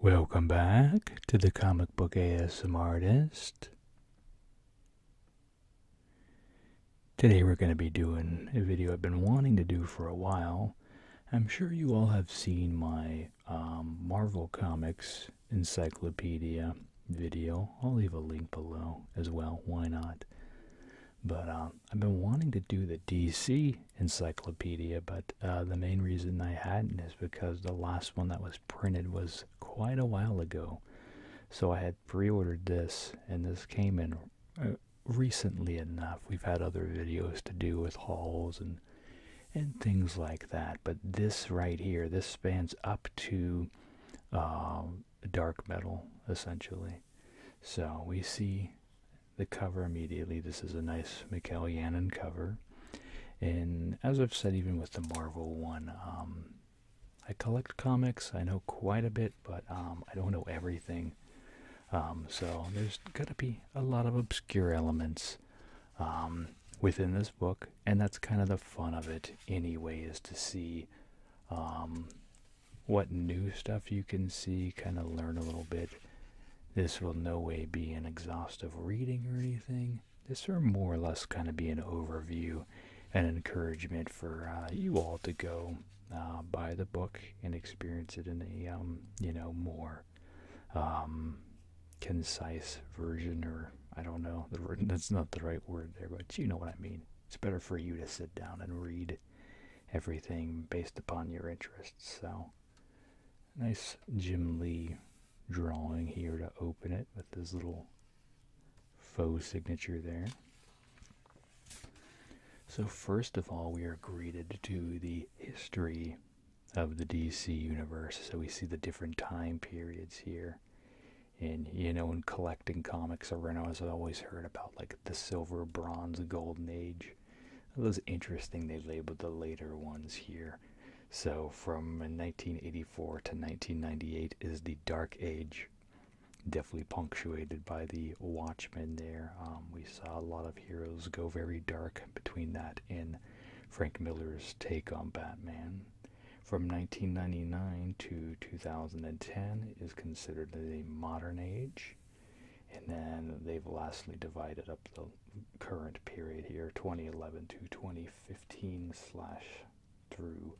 Welcome back to the Comic Book ASM Artist. Today we're going to be doing a video I've been wanting to do for a while. I'm sure you all have seen my um, Marvel Comics Encyclopedia video. I'll leave a link below as well, why not? But um, I've been wanting to do the DC encyclopedia, but uh, the main reason I hadn't is because the last one that was printed was quite a while ago. So I had pre-ordered this, and this came in uh, recently enough. We've had other videos to do with hauls and and things like that, but this right here, this spans up to uh, dark metal essentially. So we see the cover immediately. This is a nice Michael Yannon cover. And as I've said, even with the Marvel one, um, I collect comics. I know quite a bit, but um, I don't know everything. Um, so there's got to be a lot of obscure elements within this book, and that's kind of the fun of it, anyway, is to see what new stuff you can see, kind of learn a little bit, this will no way be an exhaustive reading or anything. This will more or less kind of be an overview and encouragement for uh, you all to go uh, buy the book and experience it in a um, you know more um, concise version, or I don't know. that's not the right word there, but you know what I mean. It's better for you to sit down and read everything based upon your interests. So Nice Jim Lee drawing here to open it with this little faux signature there. So, first of all, we are greeted to the history of the DC universe. So, we see the different time periods here. And, you know, in collecting comics around, i always heard about like the silver, bronze, golden age. It was interesting they labeled the later ones here. So from 1984 to 1998 is the Dark Age, definitely punctuated by the Watchmen there. Um, we saw a lot of heroes go very dark between that and Frank Miller's take on Batman. From 1999 to 2010 is considered the modern age. And then they've lastly divided up the current period here 2011 to 2015 slash through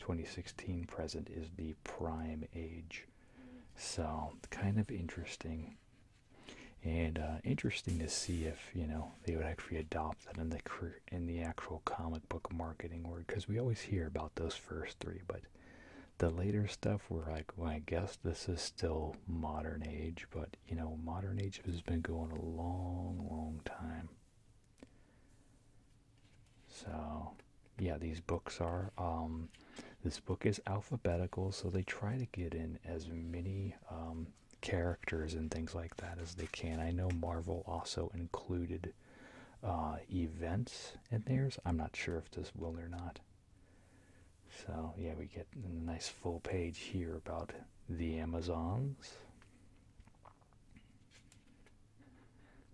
2016 present is the prime age so kind of interesting and uh, interesting to see if you know they would actually adopt that in the in the actual comic book marketing world. because we always hear about those first three but the later stuff where like i guess this is still modern age but you know, modern age has been going a long, long time. So, yeah, these books are. Um, this book is alphabetical, so they try to get in as many um, characters and things like that as they can. I know Marvel also included uh, events in theirs. I'm not sure if this will or not. So, yeah, we get a nice full page here about the Amazons.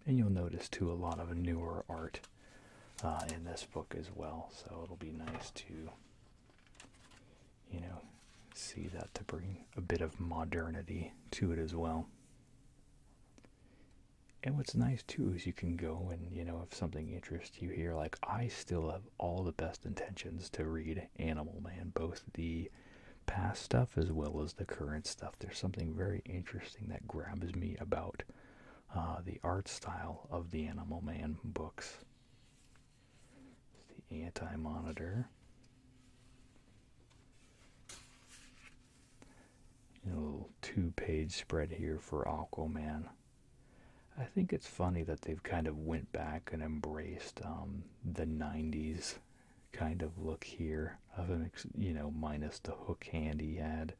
And you'll notice, too, a lot of newer art uh, in this book as well. So it'll be nice to, you know, see that to bring a bit of modernity to it as well. And what's nice too is you can go and, you know, if something interests you hear like i still have all the best intentions to read animal man both the past stuff as well as the current stuff there's something very interesting that grabs me about uh, the art style of the animal man books it's the anti-monitor a little two-page spread here for aquaman I think it's funny that they've kind of went back and embraced um, the '90s kind of look here of an you know minus the hook hand he had,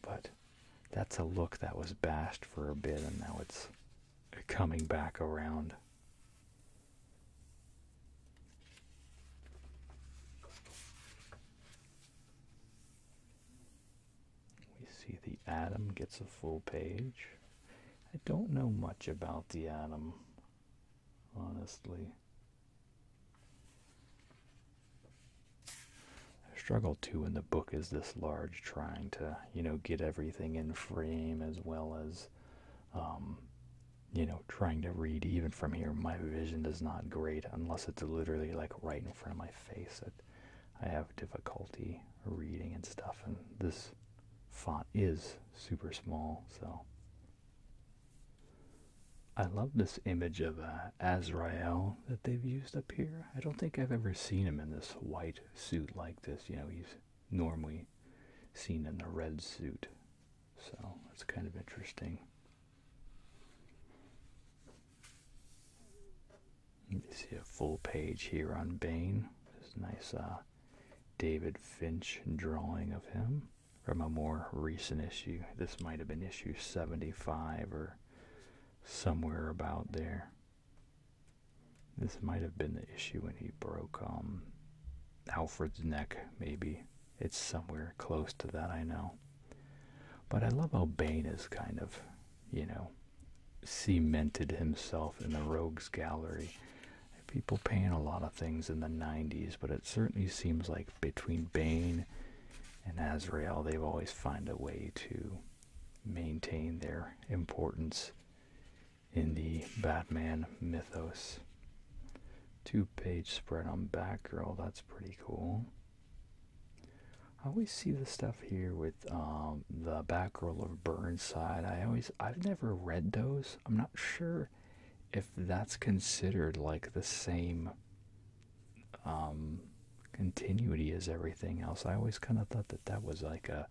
but that's a look that was bashed for a bit and now it's coming back around. We see the atom gets a full page. I don't know much about the atom, honestly. struggle too when the book is this large, trying to, you know, get everything in frame as well as, um, you know, trying to read even from here. My vision is not great unless it's literally like right in front of my face. I have difficulty reading and stuff, and this font is super small, so. I love this image of uh, Azrael that they've used up here. I don't think I've ever seen him in this white suit like this. You know, he's normally seen in the red suit. So it's kind of interesting. You see a full page here on Bane. This nice uh, David Finch drawing of him from a more recent issue. This might have been issue 75 or somewhere about there. This might have been the issue when he broke um, Alfred's neck, maybe. It's somewhere close to that, I know. But I love how Bane is kind of, you know, cemented himself in the rogues gallery. People paint a lot of things in the 90s, but it certainly seems like between Bane and Azrael, they've always find a way to maintain their importance in the Batman mythos. Two page spread on Batgirl, that's pretty cool. I always see the stuff here with um, the Batgirl of Burnside. I always, I've never read those. I'm not sure if that's considered like the same um, continuity as everything else. I always kind of thought that that was like a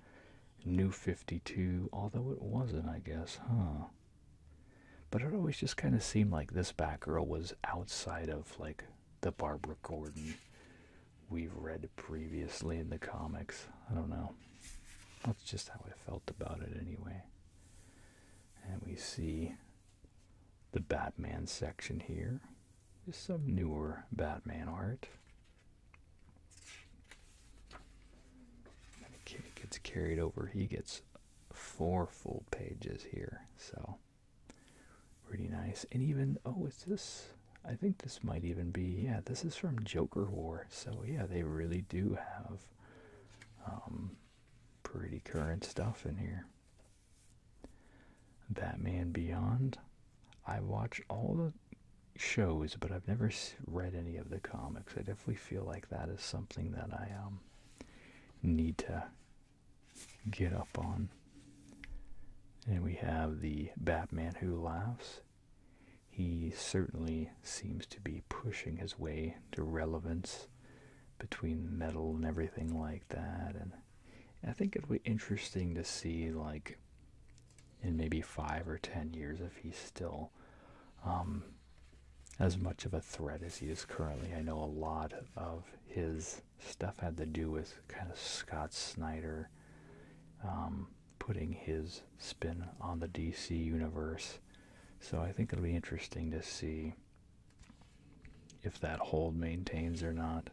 new 52, although it wasn't, I guess, huh? But it always just kind of seemed like this Batgirl was outside of like the Barbara Gordon we've read previously in the comics. I don't know. That's just how I felt about it anyway. And we see the Batman section here. Just some newer Batman art. And gets carried over. He gets four full pages here. So Pretty nice. And even, oh, is this? I think this might even be, yeah, this is from Joker War. So, yeah, they really do have um, pretty current stuff in here. Batman Beyond. I watch all the shows, but I've never read any of the comics. I definitely feel like that is something that I um, need to get up on. And we have the Batman who laughs. He certainly seems to be pushing his way to relevance between metal and everything like that. And I think it'll be interesting to see, like, in maybe five or ten years, if he's still um, as much of a threat as he is currently. I know a lot of his stuff had to do with kind of Scott Snyder um, putting his spin on the DC universe. So I think it'll be interesting to see if that hold maintains or not.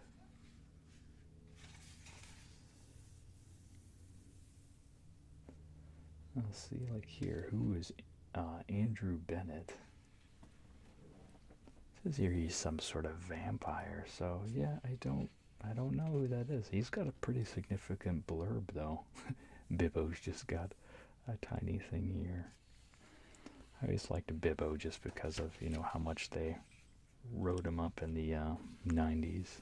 Let's see, like here, who is uh, Andrew Bennett? says here he's some sort of vampire. So yeah, I don't, I don't know who that is. He's got a pretty significant blurb though. Bibbo's just got a tiny thing here. I always liked Bibbo just because of you know how much they wrote him up in the '90s. Uh,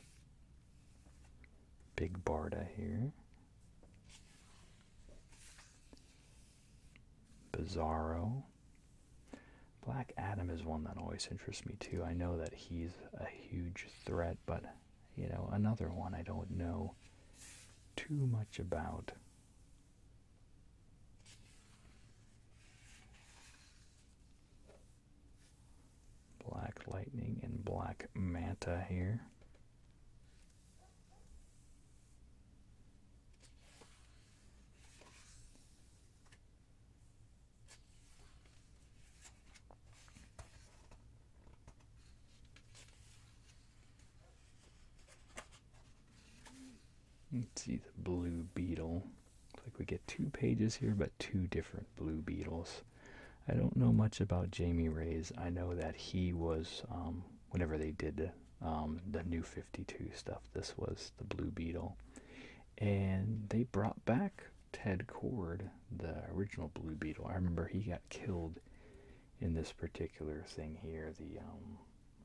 Big Barda here. Bizarro. Black Adam is one that always interests me too. I know that he's a huge threat, but you know, another one I don't know too much about. Black Lightning and Black Manta here. Let's see the blue beetle. Looks like we get two pages here, but two different blue beetles. I don't know much about Jamie Ray's. I know that he was, um, whenever they did um, the new 52 stuff, this was the blue beetle and they brought back Ted Cord, the original Blue Beetle. I remember he got killed in this particular thing here. The um,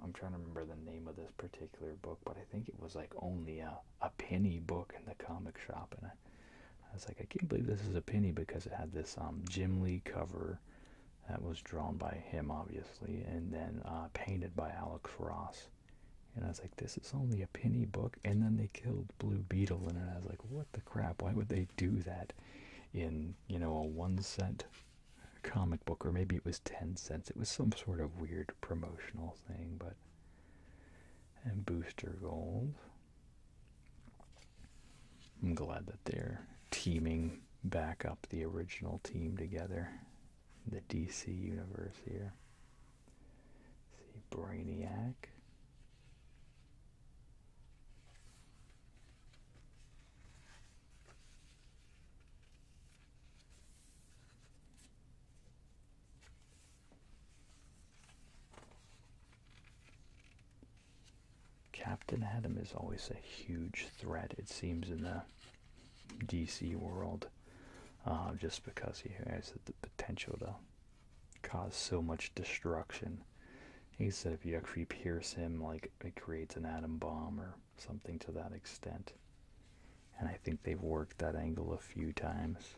I'm trying to remember the name of this particular book, but I think it was like only a a penny book in the comic shop, and I, was like, I can't believe this is a penny because it had this um, Jim Lee cover that was drawn by him, obviously, and then uh, painted by Alex Ross. And I was like, this is only a penny book. And then they killed Blue Beetle and I was like, what the crap? Why would they do that in, you know, a one cent comic book? Or maybe it was 10 cents. It was some sort of weird promotional thing, but. And Booster Gold. I'm glad that they're teaming back up the original team together the DC universe here. see Brainiac. Captain Adam is always a huge threat, it seems, in the DC world uh, just because he has the potential to cause so much destruction. He said if you actually pierce him, like it creates an atom bomb or something to that extent. And I think they've worked that angle a few times.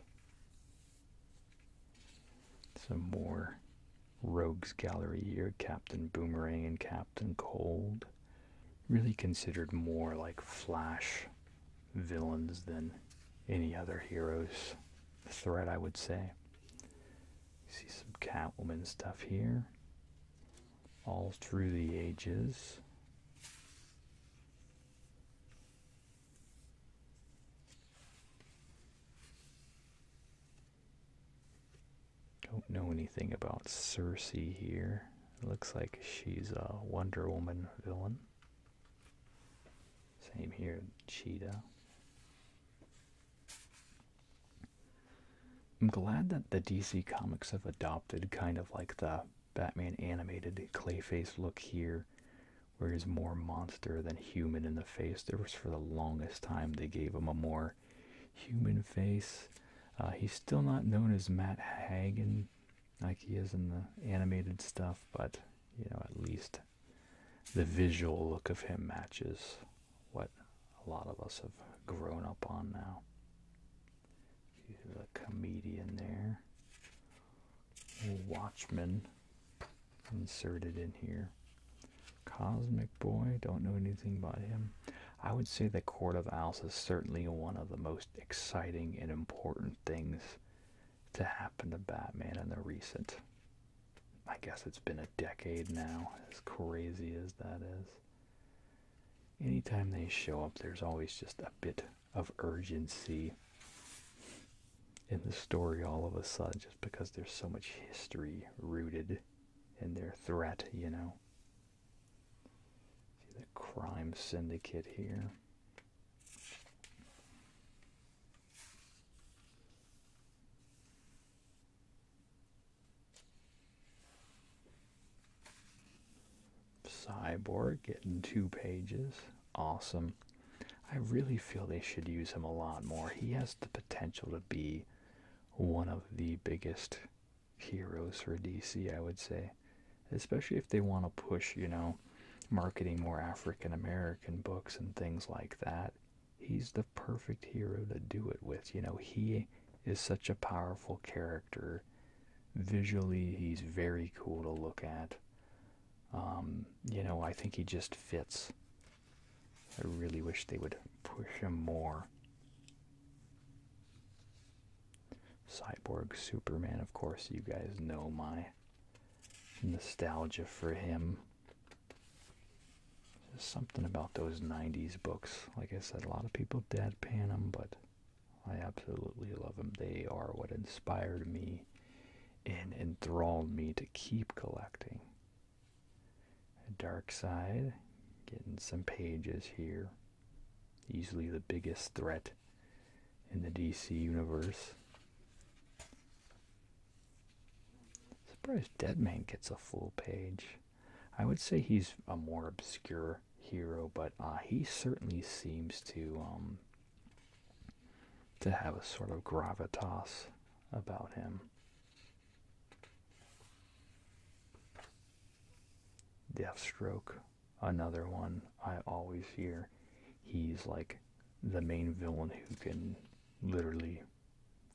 Some more Rogues Gallery here Captain Boomerang and Captain Cold really considered more like Flash villains than any other heroes threat, I would say. See some Catwoman stuff here. All through the ages. Don't know anything about Cersei here looks like she's a Wonder Woman villain. Same here, Cheetah. I'm glad that the DC comics have adopted kind of like the Batman animated Clayface look here, where he's more monster than human in the face. There was for the longest time they gave him a more human face. Uh, he's still not known as Matt Hagen like he is in the animated stuff, but you know, at least the visual look of him matches what a lot of us have grown up on now. He's a comedian there. Watchman inserted in here. Cosmic Boy, don't know anything about him. I would say the Court of Owls is certainly one of the most exciting and important things to happen to Batman in the recent. I guess it's been a decade now, as crazy as that is. Anytime they show up, there's always just a bit of urgency in the story all of a sudden, just because there's so much history rooted in their threat, you know. See the crime syndicate here. Cyborg getting two pages. Awesome. I really feel they should use him a lot more. He has the potential to be one of the biggest heroes for DC, I would say, especially if they want to push, you know, marketing more African American books and things like that. He's the perfect hero to do it with. You know, he is such a powerful character. Visually, he's very cool to look at. Um, you know, I think he just fits. I really wish they would push him more. Cyborg Superman, of course, you guys know my nostalgia for him. There's something about those 90s books. Like I said, a lot of people deadpan them, but I absolutely love them. They are what inspired me and enthralled me to keep collecting. Dark Side, getting some pages here easily the biggest threat in the DC universe. Surprised Deadman gets a full page. I would say he's a more obscure hero, but uh, he certainly seems to um, to have a sort of gravitas about him. Deathstroke another one I always hear. He's like the main villain who can literally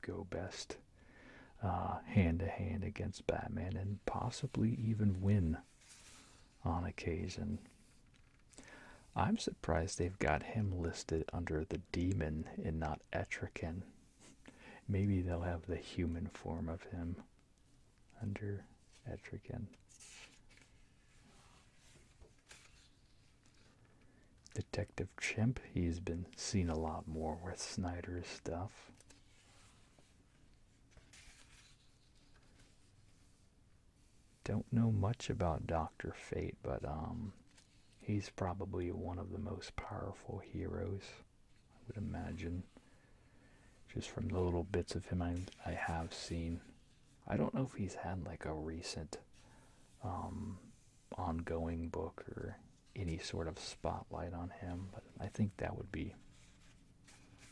go best uh, hand to hand against Batman and possibly even win on occasion. I'm surprised they've got him listed under the demon and not Etrican. Maybe they'll have the human form of him under Etrigan. Detective Chimp, he's been seen a lot more with Snyder's stuff. Don't know much about Dr. Fate, but um, he's probably one of the most powerful heroes. I would imagine. Just from the little bits of him I, I have seen. I don't know if he's had like a recent um, ongoing book or any sort of spotlight on him, but I think that would be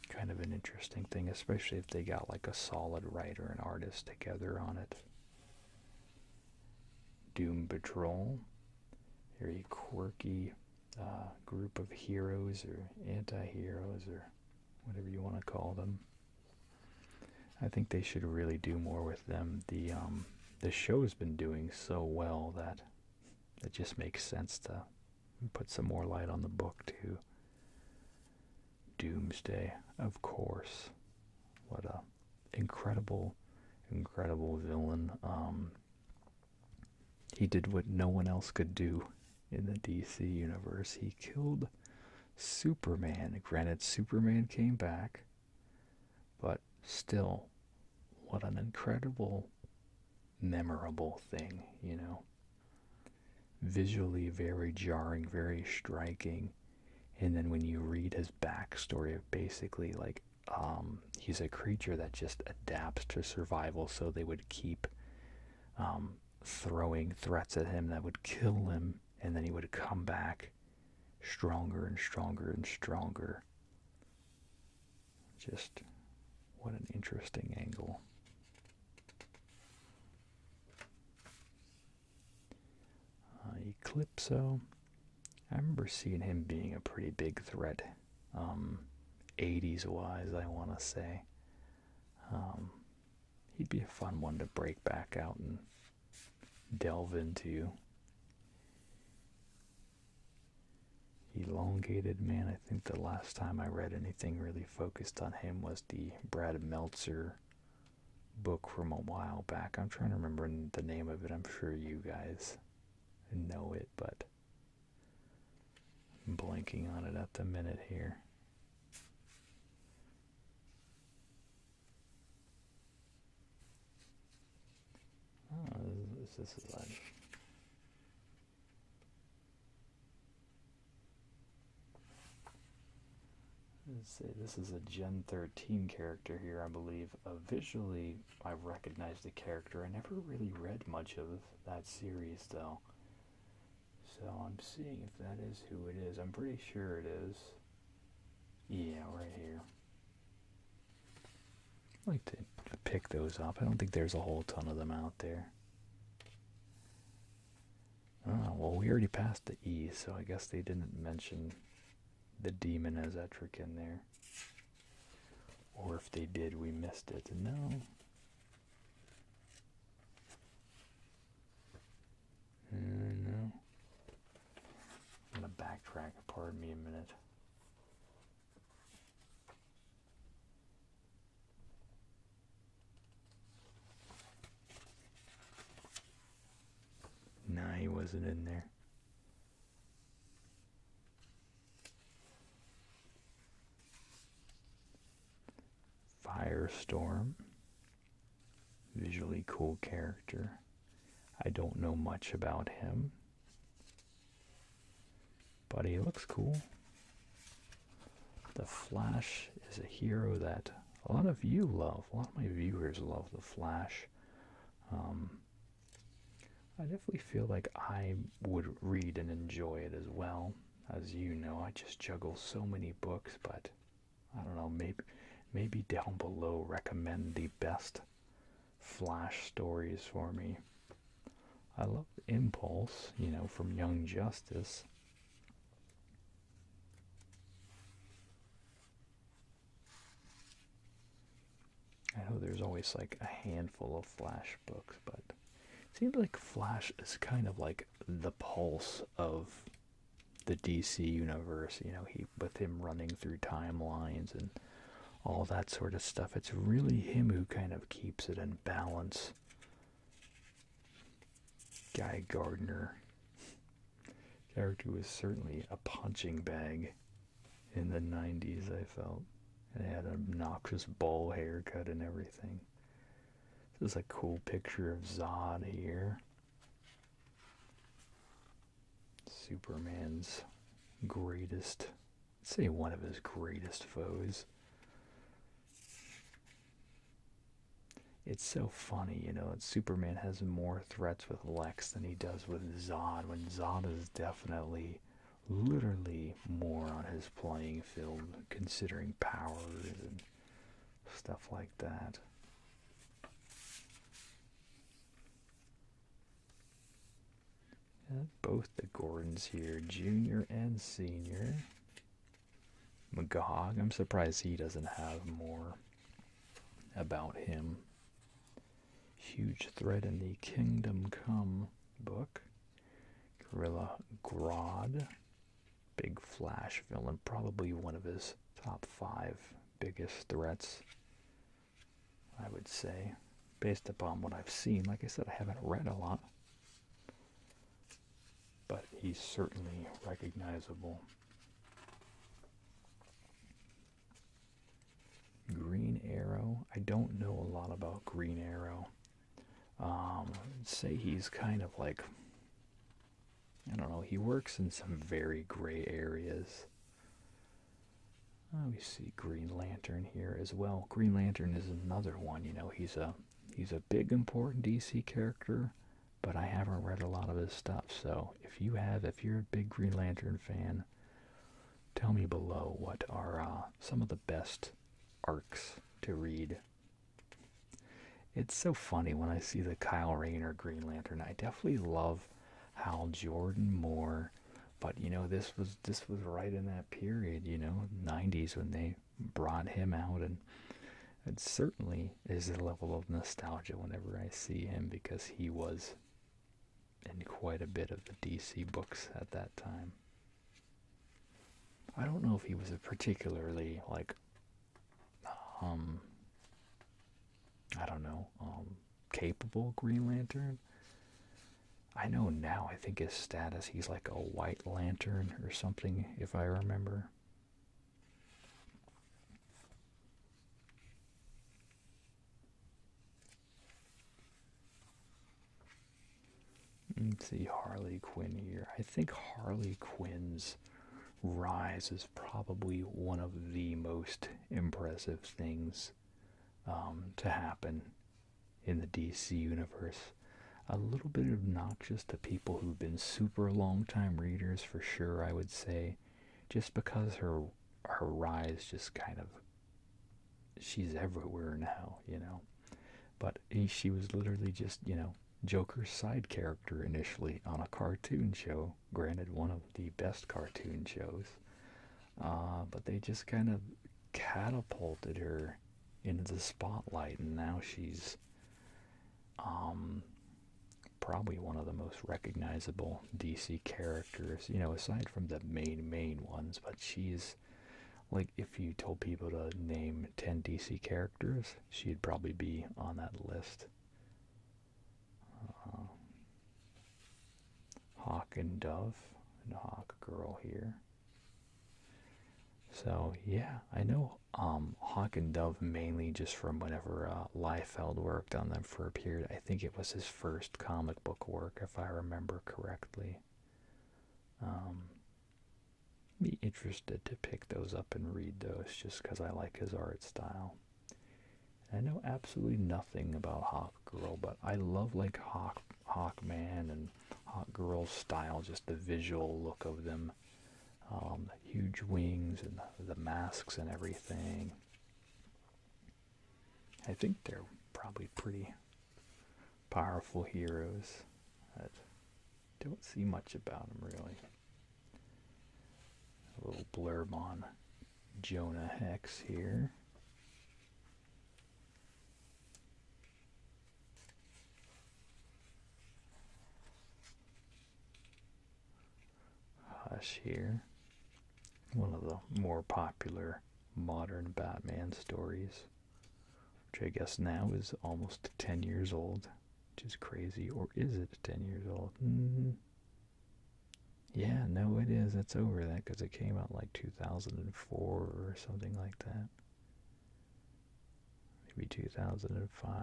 kind of an interesting thing, especially if they got like a solid writer and artist together on it. Doom Patrol. Very quirky uh, group of heroes or anti-heroes or whatever you want to call them. I think they should really do more with them. The um, the show's been doing so well that it just makes sense to put some more light on the book too. Doomsday, of course. What a incredible, incredible villain. Um, he did what no one else could do in the DC universe. He killed Superman. Granted, Superman came back, but still, what an incredible, memorable thing, you know. Visually very jarring, very striking. And then when you read his backstory of basically like um, he's a creature that just adapts to survival, so they would keep um, throwing threats at him that would kill him, and then he would come back stronger and stronger and stronger. Just what an interesting angle. Uh, Eclipso. I remember seeing him being a pretty big threat 80s um, wise, I want to say. Um, he'd be a fun one to break back out and delve into. Elongated man, I think the last time I read anything really focused on him was the Brad Meltzer book from a while back. I'm trying to remember the name of it. I'm sure you guys know it, but I'm blanking on it at the minute here. Oh, this, is like Say this is a Gen 13 character here, I believe. Uh, visually, I recognized the character. I never really read much of that series, though. So I'm seeing if that is who it is. I'm pretty sure it is. Yeah, right here. I like to pick those up. I don't think there's a whole ton of them out there. Oh, well, we already passed the E, so I guess they didn't mention the demon as Etric in there. Or if they did, we missed it. No, I'm gonna backtrack. Pardon me a minute. Nah, he wasn't in there. Firestorm. Visually cool character. I don't know much about him. But he looks cool. The Flash is a hero that a lot of you love. A lot of my viewers love The Flash. Um, I definitely feel like I would read and enjoy it as well. As you know, I just juggle so many books, but I don't know, maybe maybe down below recommend the best flash stories for me. I love Impulse, you know, from Young Justice. I know there's always like a handful of Flash books, but seems like Flash is kind of like the pulse of the DC universe, you know, he with him running through timelines and all that sort of stuff. It's really him who kind of keeps it in balance. Guy Gardner character was certainly a punching bag in the 90s, I felt and had an obnoxious bowl haircut and everything. This is a cool picture of Zod here. Superman's greatest, say one of his greatest foes. It's so funny, you know, that Superman has more threats with Lex than he does with Zod, when Zod is definitely literally more on his playing field, considering powers and stuff like that. both the Gordons here, junior and senior. Magog, I'm surprised he doesn't have more about him. Huge threat in the Kingdom Come book. Gorilla Grodd, big Flash villain, probably one of his top five biggest threats. I would say, based upon what I've seen. Like I said, I haven't read a lot, but he's certainly recognizable. Green Arrow. I don't know a lot about Green Arrow. Um, say he's kind of like, I don't know, he works in some very gray areas. we see Green Lantern here as well. Green Lantern is another one, you know, he's a he's a big important DC character, but I haven't read a lot of his stuff. So if you have, if you're a big Green Lantern fan, tell me below what are uh, some of the best arcs to read. It's so funny when I see the Kyle Rayner Green Lantern. I definitely love Hal Jordan more, but you know this was this was right in that period, you know, 90s when they brought him out and it certainly is a level of nostalgia whenever I see him because he was in quite a bit of the DC books at that time. I don't know if he was a particularly like um I don't know um capable Green Lantern. I know now I think his status he's like a white lantern or something if I remember. Let's see, Harley Quinn here. I think Harley Quinn's rise is probably one of the most impressive things um, to happen in the DC universe. A little bit obnoxious to people who've been super long-time readers, for sure, I would say, just because her her rise just kind of she's everywhere now, you know. But she was literally just, you know, Joker's side character initially on a cartoon show. Granted, one of the best cartoon shows. Uh, but they just kind of catapulted her into the spotlight, and now she's um, probably one of the most recognizable DC characters, you know, aside from the main, main ones. But she's like if you told people to name 10 DC characters, she'd probably be on that list. Uh, Hawk and Dove and Hawk Girl here. So yeah, I know um, Hawk and Dove mainly just from whenever uh, Liefeld worked on them for a period. I think it was his first comic book work, if I remember correctly. Um, be interested to pick those up and read those just because I like his art style. I know absolutely nothing about Hawk Girl, but I love like Hawk Hawkman and Hawk Girl's style, just the visual look of them, um, the huge wings and the masks and everything. I think they're probably pretty powerful heroes that don't see much about them really. A little blurb on Jonah Hex here. Hush here. One of the more popular modern Batman stories which I guess now is almost 10 years old, which is crazy. Or is it 10 years old? Mm-hmm. Yeah, no, it is. It's over that because it came out like 2004 or something like that. Maybe 2005.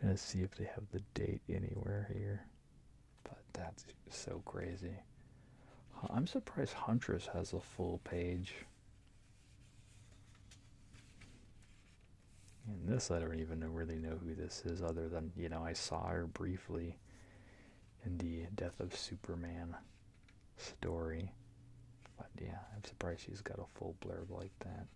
I'm gonna see if they have the date anywhere here. But that's so crazy. I'm surprised Huntress has a full page. And this, I don't even know, really know who this is, other than, you know, I saw her briefly in the Death of Superman story. But yeah, I'm surprised she's got a full blurb like that.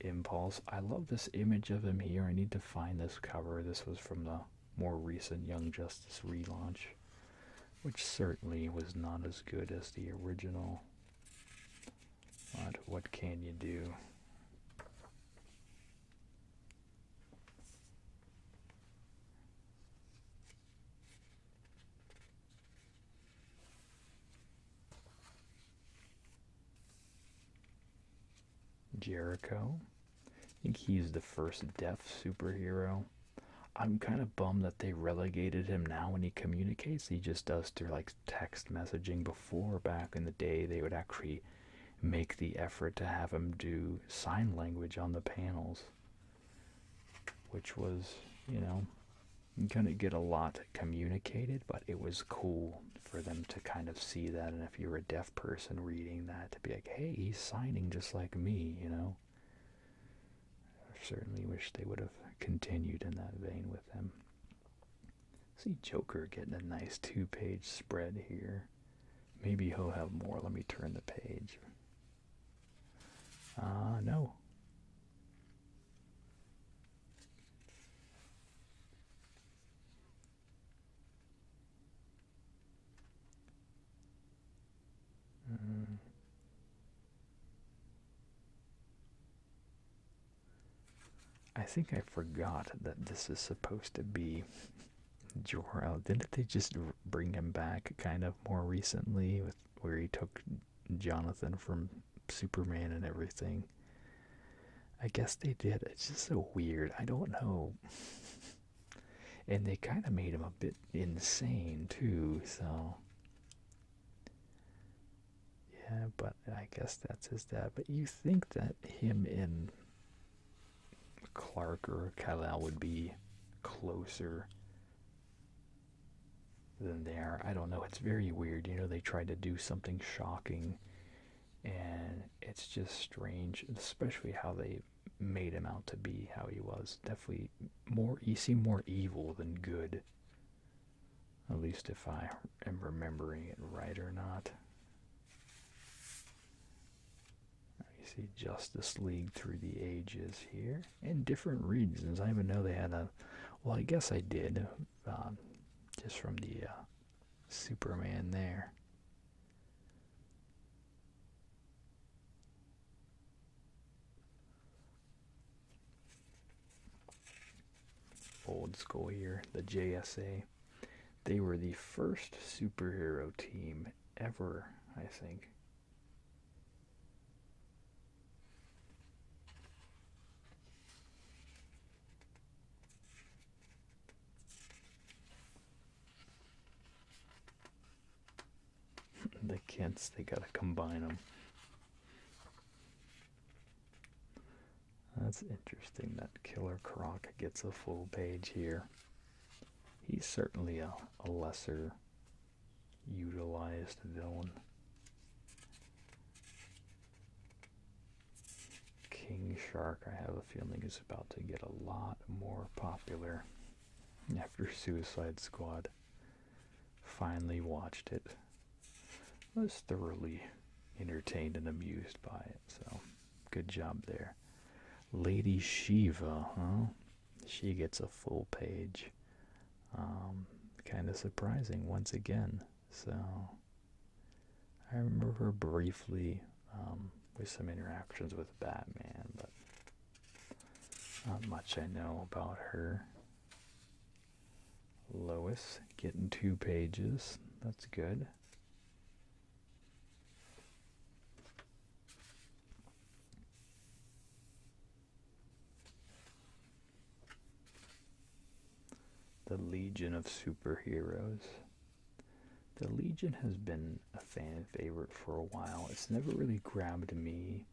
Impulse. I love this image of him here. I need to find this cover. This was from the more recent Young Justice relaunch, which certainly was not as good as the original. But what can you do? Jericho. I think he's the first deaf superhero. I'm kind of bummed that they relegated him now when he communicates. He just does through like text messaging before back in the day they would actually make the effort to have him do sign language on the panels. Which was, you know, kind of get a lot communicated, but it was cool for them to kind of see that if you were a deaf person reading that to be like hey he's signing just like me you know i certainly wish they would have continued in that vein with him see joker getting a nice two-page spread here maybe he'll have more let me turn the page Ah, no Mm. I think I forgot that this is supposed to be Jor-El. Didn't they just bring him back kind of more recently with where he took Jonathan from Superman and everything? I guess they did. It's just so weird. I don't know. and they kind of made him a bit insane too so yeah but i guess that's his dad but you think that him in clark or kal would be closer than they are i don't know it's very weird you know they tried to do something shocking and it's just strange especially how they made him out to be how he was. Definitely more he seemed more evil than good. At least if I am remembering it right or not. You see Justice League through the ages here. in different regions. I even know they had a well I guess I did. Um, just from the uh, Superman there. Old school here, the JSA. They were the first superhero team ever, I think. they can't, they gotta combine them. That's interesting that Killer Croc gets a full page here. He's certainly a, a lesser utilized villain. King Shark, I have the feeling is about to get a lot more popular after Suicide Squad finally watched it. I was thoroughly entertained and amused by it, so good job there. Lady Shiva, huh? She gets a full page. Um, kind of surprising once again. So I remember briefly with um, some interactions with Batman, but not much I know about her. Lois getting two pages. That's good. The Legion of Superheroes. The Legion has been a fan favorite for a while. It's never really grabbed me,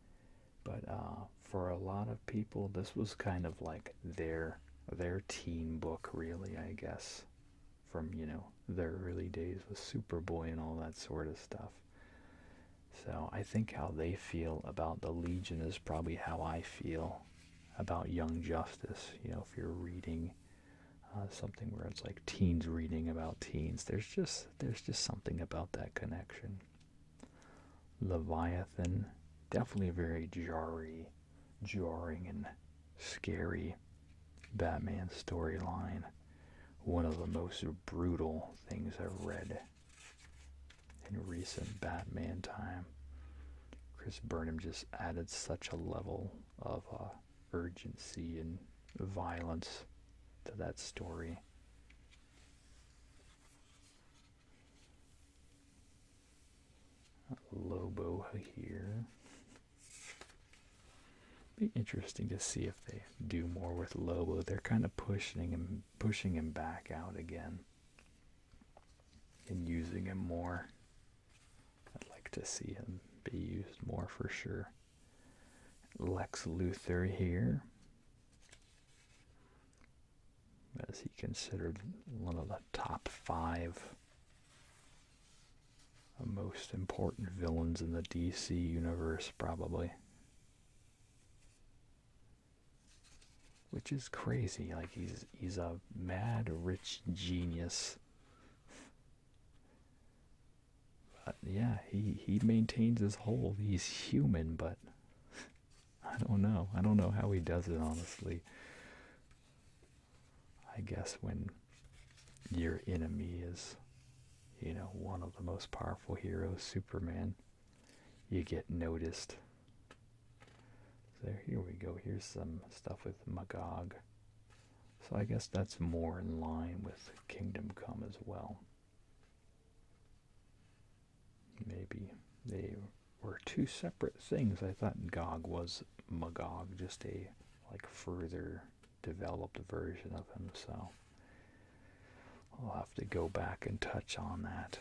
but uh, for a lot of people, this was kind of like their their teen book, really. I guess from you know their early days with Superboy and all that sort of stuff. So I think how they feel about the Legion is probably how I feel about Young Justice. You know, if you're reading uh, something where it's like teens reading about teens. There's just there's just something about that connection. Leviathan, definitely a very jarring and scary Batman storyline. One of the most brutal things I've read in recent Batman time. Chris Burnham just added such a level of uh, urgency and violence to that story. Lobo here. Be interesting to see if they do more with Lobo. They're kind of pushing him, pushing him back out again, and using him more. I'd like to see him be used more for sure. Lex Luthor here. As he considered one of the top five most important villains in the DC universe, probably. Which is crazy. Like he's he's a mad rich genius but uh, yeah, he he maintains his whole. He's human, but I don't know. I don't know how he does it honestly. I guess when your enemy is, you know, one of the most powerful heroes, Superman, you get noticed. There, here we go. Here's some stuff with Magog. So I guess that's more in line with Kingdom Come as well. Maybe they were two separate things. I thought Gog was Magog, just a like further developed version of him. So I'll have to go back and touch on that.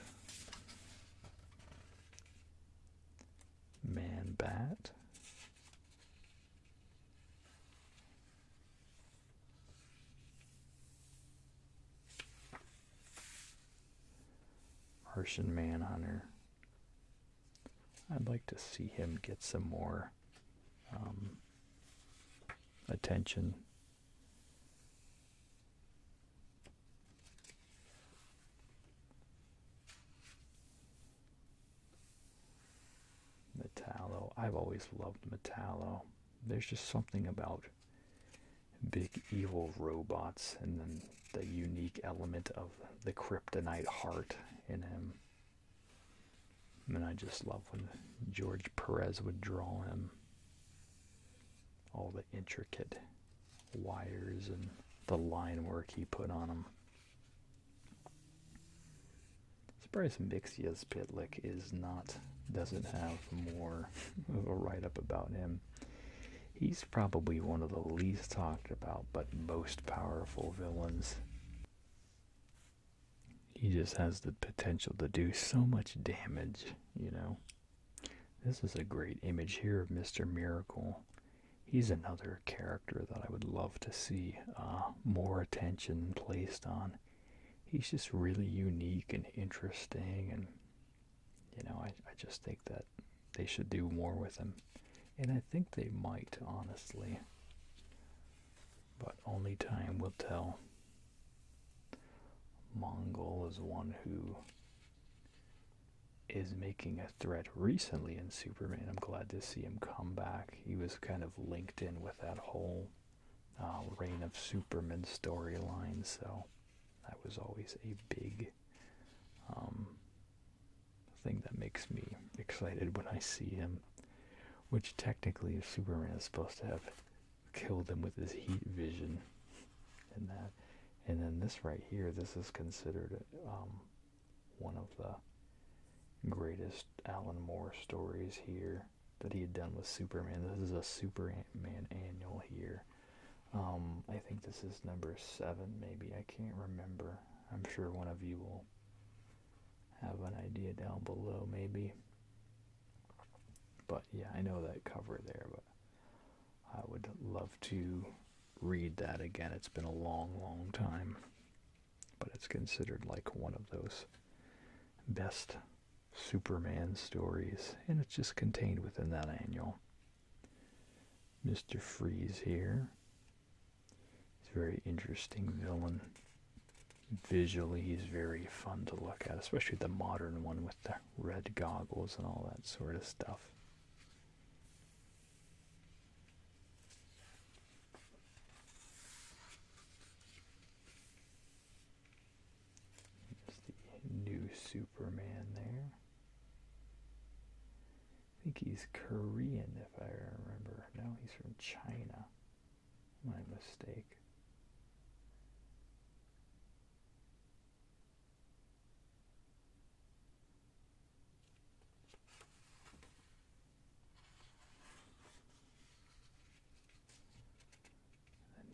Man Bat. Martian Manhunter. I'd like to see him get some more um, attention. Metallo. I've always loved Metallo. There's just something about big evil robots and then the unique element of the kryptonite heart in him. And I just love when George Perez would draw him. All the intricate wires and the line work he put on him. Surprised Mixia's Pitlick is not doesn't have more of a write up about him. He's probably one of the least talked about but most powerful villains. He just has the potential to do so much damage, you know. This is a great image here of Mr. Miracle he's another character that I would love to see uh, more attention placed on. He's just really unique and interesting, and you know, I just think that they should do more with him, and I think they might, honestly, but only time will tell. Mongol is one who is making a threat recently in Superman. I'm glad to see him come back he was kind of linked in with that whole uh, Reign of Superman storyline, so that was always a big um, thing that makes me excited when I see him. Which technically, Superman is supposed to have killed him with his heat vision, and that, and then this right here, this is considered um, one of the greatest Alan Moore stories here that he had done with Superman. This is a Superman annual here. Um, I think this is number seven, maybe. I can't remember. I'm sure one of you will have an idea down below, maybe. But yeah, I know that cover there, but I would love to read that again. It's been a long, long time but it's considered like one of those best Superman stories, and it's just contained within that annual. Mr. Freeze here. He's a very interesting villain. Visually, he's very fun to look at, especially the modern one with the red goggles and all that sort of stuff new Superman there. I think he's Korean if I remember. No, he's from China. My mistake.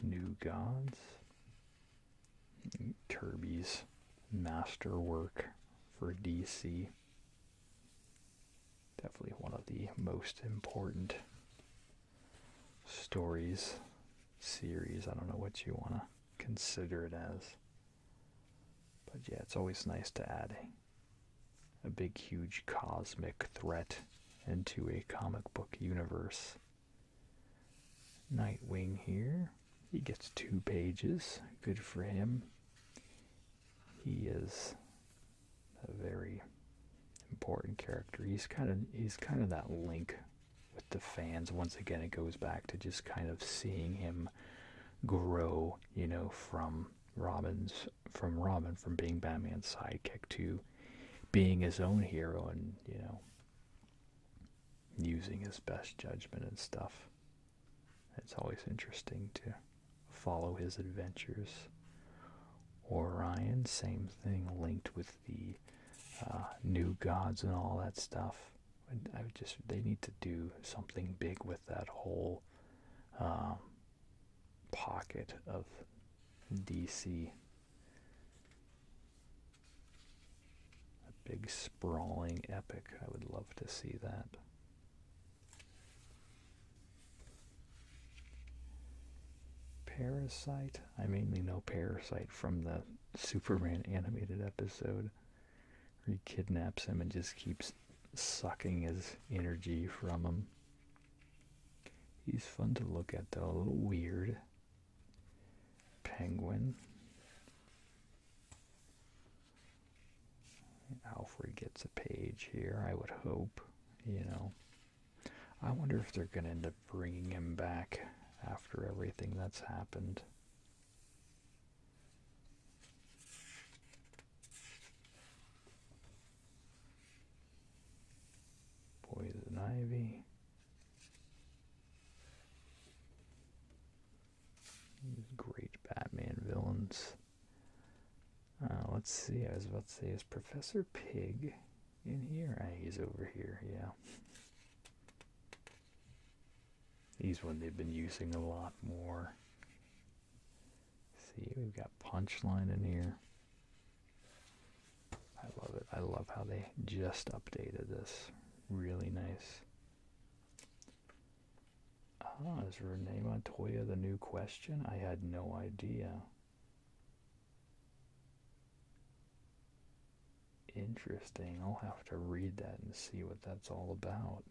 New Gods, Kirby's masterwork for DC. Definitely one of the most important stories, series. I don't know what you want to consider it as. But yeah, it's always nice to add a, big, huge cosmic threat into a comic book universe. Nightwing here. He gets two pages. Good for him. He is a very important character. He's kind of he's kind of that link with the fans. Once again, it goes back to just kind of seeing him grow you know, from Robin's from Robin from being Batman's sidekick to being his own hero and, you know, using his best judgment and stuff. It's always interesting to follow his adventures. Orion, same thing, linked with the uh, new gods and all that stuff. I just, they need to do something big with that whole um, pocket of DC. A big sprawling epic. I would love to see that. Parasite. I mainly know Parasite from the Superman animated episode. He kidnaps him and just keeps sucking his energy from him. He's fun to look at though, a little weird. Penguin. Alfred gets a page here, I would hope, you know. I wonder if they're going to end up bringing him back after everything that's happened. Poison Ivy. great Batman villains. Uh, let's see, I was about to say, is Professor Pig in here? Ah, he's over here, yeah. These one they've been using a lot more. See, we've got punchline in here. I love it. I love how they just updated this. Really nice. Ah, is Renee Montoya the new question? I had no idea. Interesting. I'll have to read that and see what that's all about.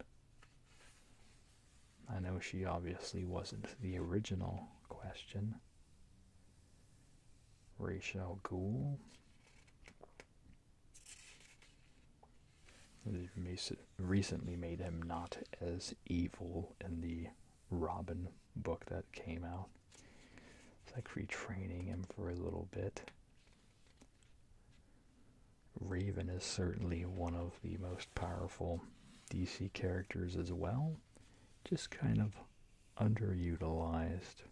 I know she obviously wasn't the original question. Rachel Ghoul. Recently made him not as evil in the Robin book that came out. It's like retraining him for a little bit. Raven is certainly one of the most powerful DC characters as well, just kind of underutilized.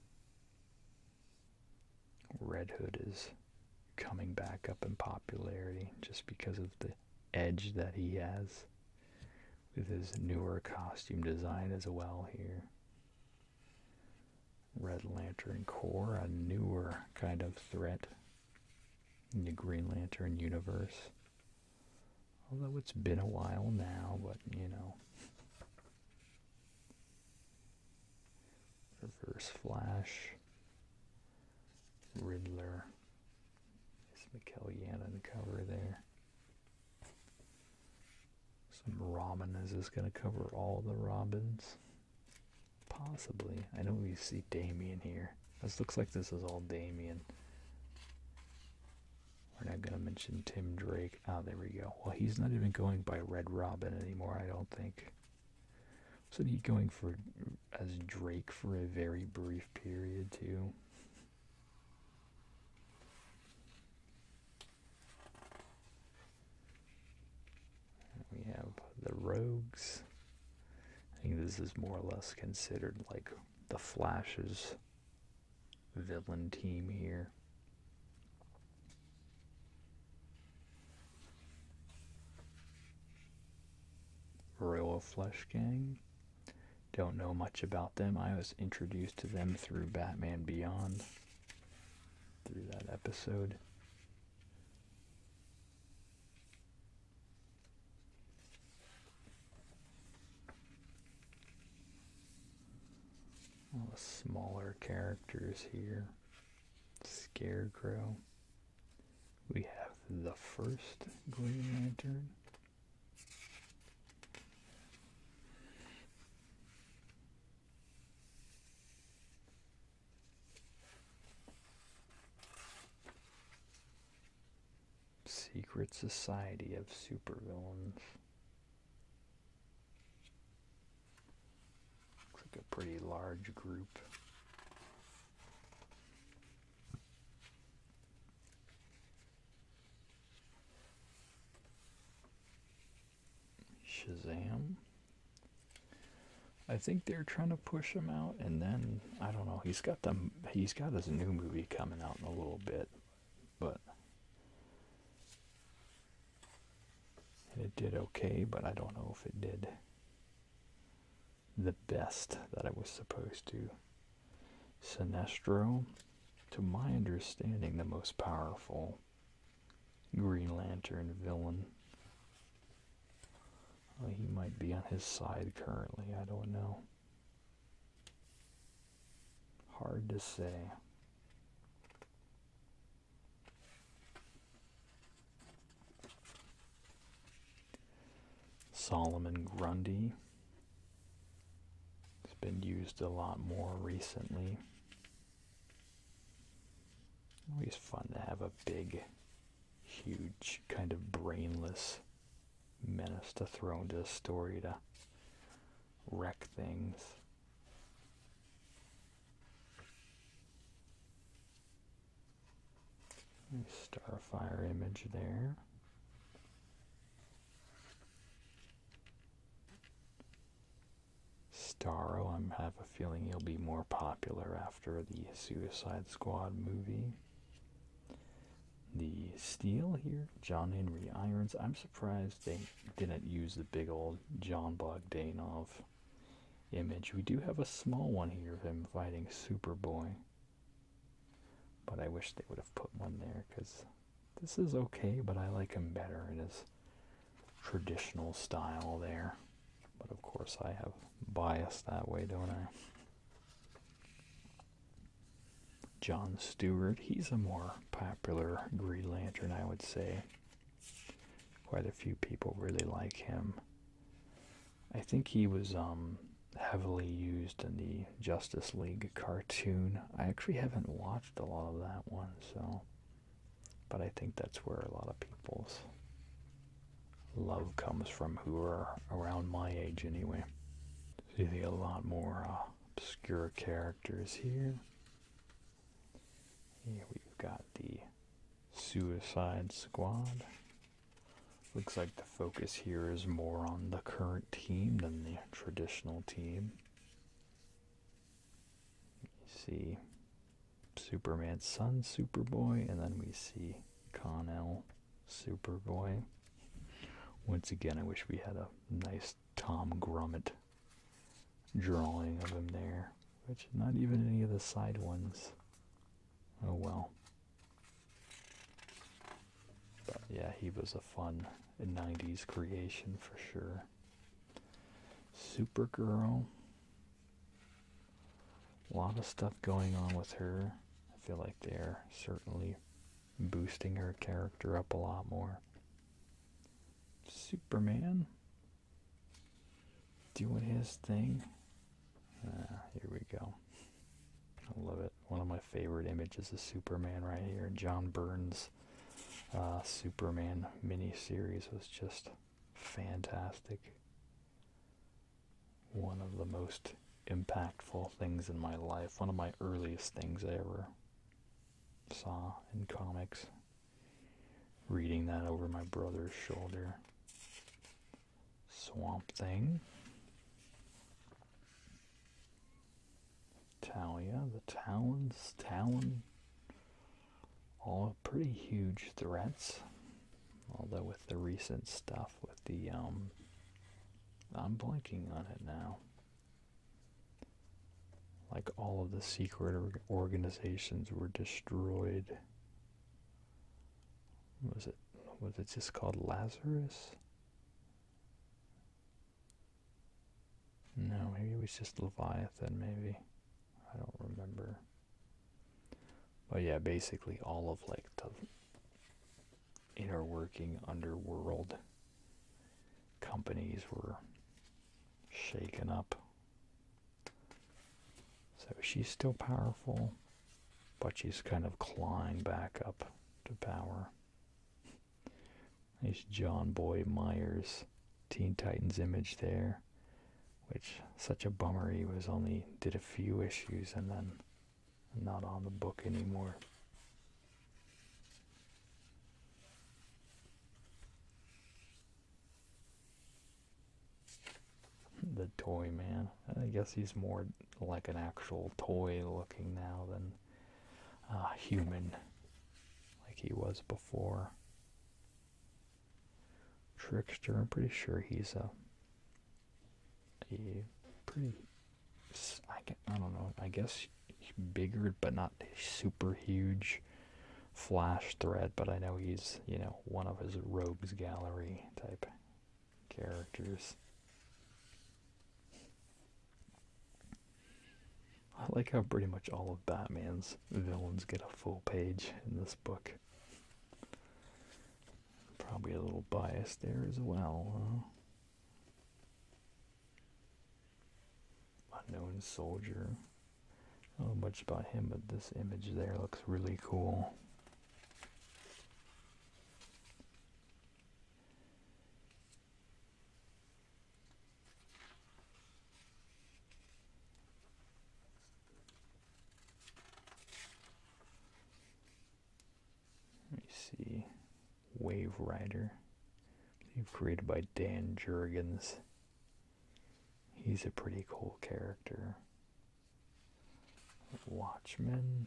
Red Hood is coming back up in popularity just because of the edge that he has with his newer costume design as well here. Red Lantern Corps, a newer kind of threat in the Green Lantern universe. Although it's been a while now, but you know. Reverse Flash, Riddler. Is Mikkel Yan on the cover there? Some Robin. Is this going to cover all the Robins? Possibly. I know we see Damien here. This looks like this is all Damien. We're not going to mention Tim Drake. oh, there we go. Well, he's not even going by Red Robin anymore, I don't think. So not he going for as Drake for a very brief period, too? We have the Rogues. I think this is more or less considered like the Flash's villain team here. Royal Flush Gang. Don't know much about them. I was introduced to them through Batman Beyond, through that episode. All the smaller characters here. Scarecrow. We have the first Green Lantern. Secret Society of Supervillains. Looks like a pretty large group. Shazam. I think they're trying to push him out, and then I don't know. He's got them. He's got his new movie coming out in a little bit, but it did okay. But I don't know if it did the best that it was supposed to. Sinestro, to my understanding, the most powerful Green Lantern villain. Oh, he might be on his side currently, I don't know. Hard to say. Solomon Grundy. It's been used a lot more recently. Always fun to have a big huge kind of brainless menace to throw into a story to wreck things. Starfire image there. Starro, I have a feeling he'll be more popular after after the Suicide Squad movie. The steel here, John Henry Irons. I'm surprised they didn't use the big old John Bogdanov image. We do have a small one here of him fighting Superboy. But I wish they would have put one there because this is okay, but I like him better in his traditional style there. But of course, I have bias that way, don't I? John Stewart, he's a more popular Green Lantern, I would say. Quite a few people really like him. I think he was um, heavily used in the Justice League cartoon. I actually haven't watched a lot of that one, so but I think that's where a lot of people's love comes from who are around my age anyway. see a lot more uh, obscure characters here. Here we've got the Suicide Squad. Looks like the focus here is more on the current team than the traditional team. see Superman's son, Superboy, and then we see Connell, Superboy. Once again, I wish we had a nice Tom Grummett drawing of him there, which not even any of the side ones. Oh well. But yeah, he was a fun 90s creation for sure. Supergirl. A lot of stuff going on with her. I feel like they're certainly boosting her character up a lot more. Superman doing his thing. Ah, here we go. I love it. One of my favorite images of Superman right here. John Burns' uh, Superman mini series was just fantastic one of the most impactful things in my life, one of my earliest things I ever saw in comics. Reading that over my brother's shoulder. Swamp Thing. Talia, the Talons, Talon, all pretty huge threats. Although with the recent stuff with the um I'm blanking on it now. Like all of the secret organizations were destroyed. Was it was it just called Lazarus? No, maybe it was just Leviathan maybe. I don't remember. But yeah, basically all of like the inner working underworld companies were shaken up. So she's still powerful, but she's kind of clawing back up to power. There's John Boy Myers, Teen Titans image there which such a bummer he was only did a few issues and then not on the book anymore. the toy man. I guess he's more like an actual toy looking now than uh, human like he was before. Trickster. I'm pretty sure he's a, a pretty. I, can, I don't know. I guess bigger, but not super huge. Flash threat. but I know he's you know one of his rogues gallery type characters. I like how pretty much all of Batman's villains get a full page in this book. Probably a little bias there as well. Unknown soldier. I don't know much about him, but this image there looks really cool. Let me see. Wave Rider. Created by Dan Jurgens. He's a pretty cool character. Watchmen.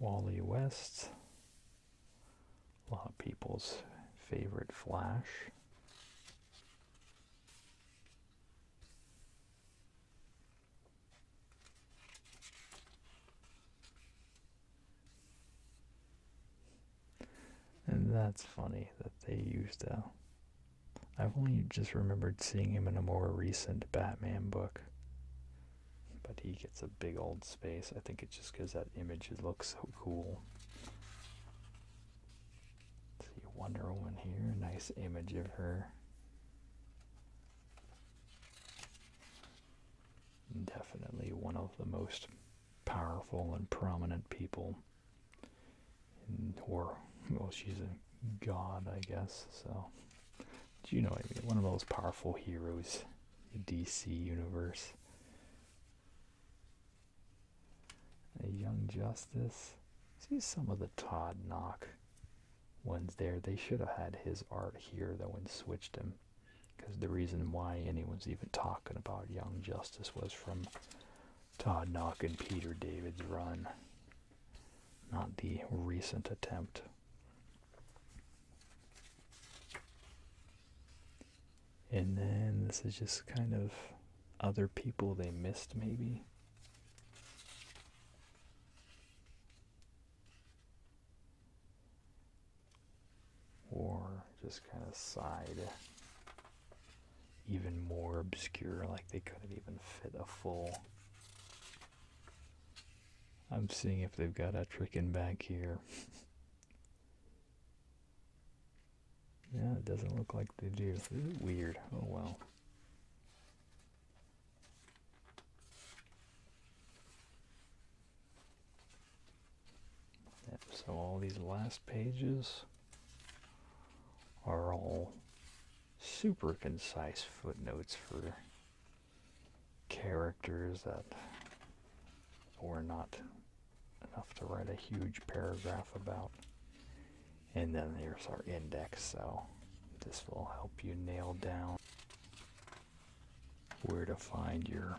Wally West. A lot of people's favorite Flash. And that's funny that they used i I've only just remembered seeing him in a more recent Batman book. But he it's a big old space. I think it just because that image looks so cool. See Wonder Woman here, nice image of her. Definitely one of the most powerful and prominent people. or, well, she's a god, I guess, so. Do you know what I mean? One of the most powerful heroes, the DC universe. Young Justice. See some of the Todd Knock ones there. They should have had his art here though when switched him. Because the reason why anyone's even talking about Young Justice was from Todd Knock and Peter David's run, not the recent attempt. And then this is just kind of other people they missed, maybe. Or just kind of side even more obscure, like they couldn't even fit a full. I'm seeing if they've got a trick in back here. Yeah, it doesn't look like they do. is weird. Oh wow. so all these last pages are all super concise footnotes for characters that were not enough to write a huge paragraph about. And then there's our index, so this will help you nail down where to find your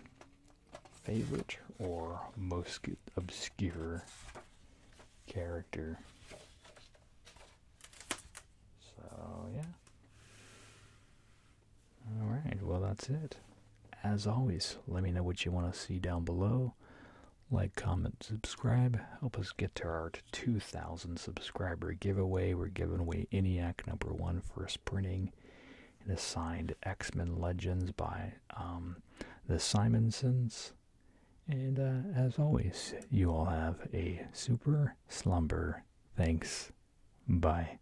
favorite or most obscure character. So, yeah. Alright, well, that's it. As always, let me know what you want to see down below. Like, comment, subscribe. Help us get to our 2,000 subscriber giveaway. We're giving away ENIAC number one first printing and a signed X Men Legends by um, the Simonsons. And uh, as always, you all have a super slumber. Thanks. Bye.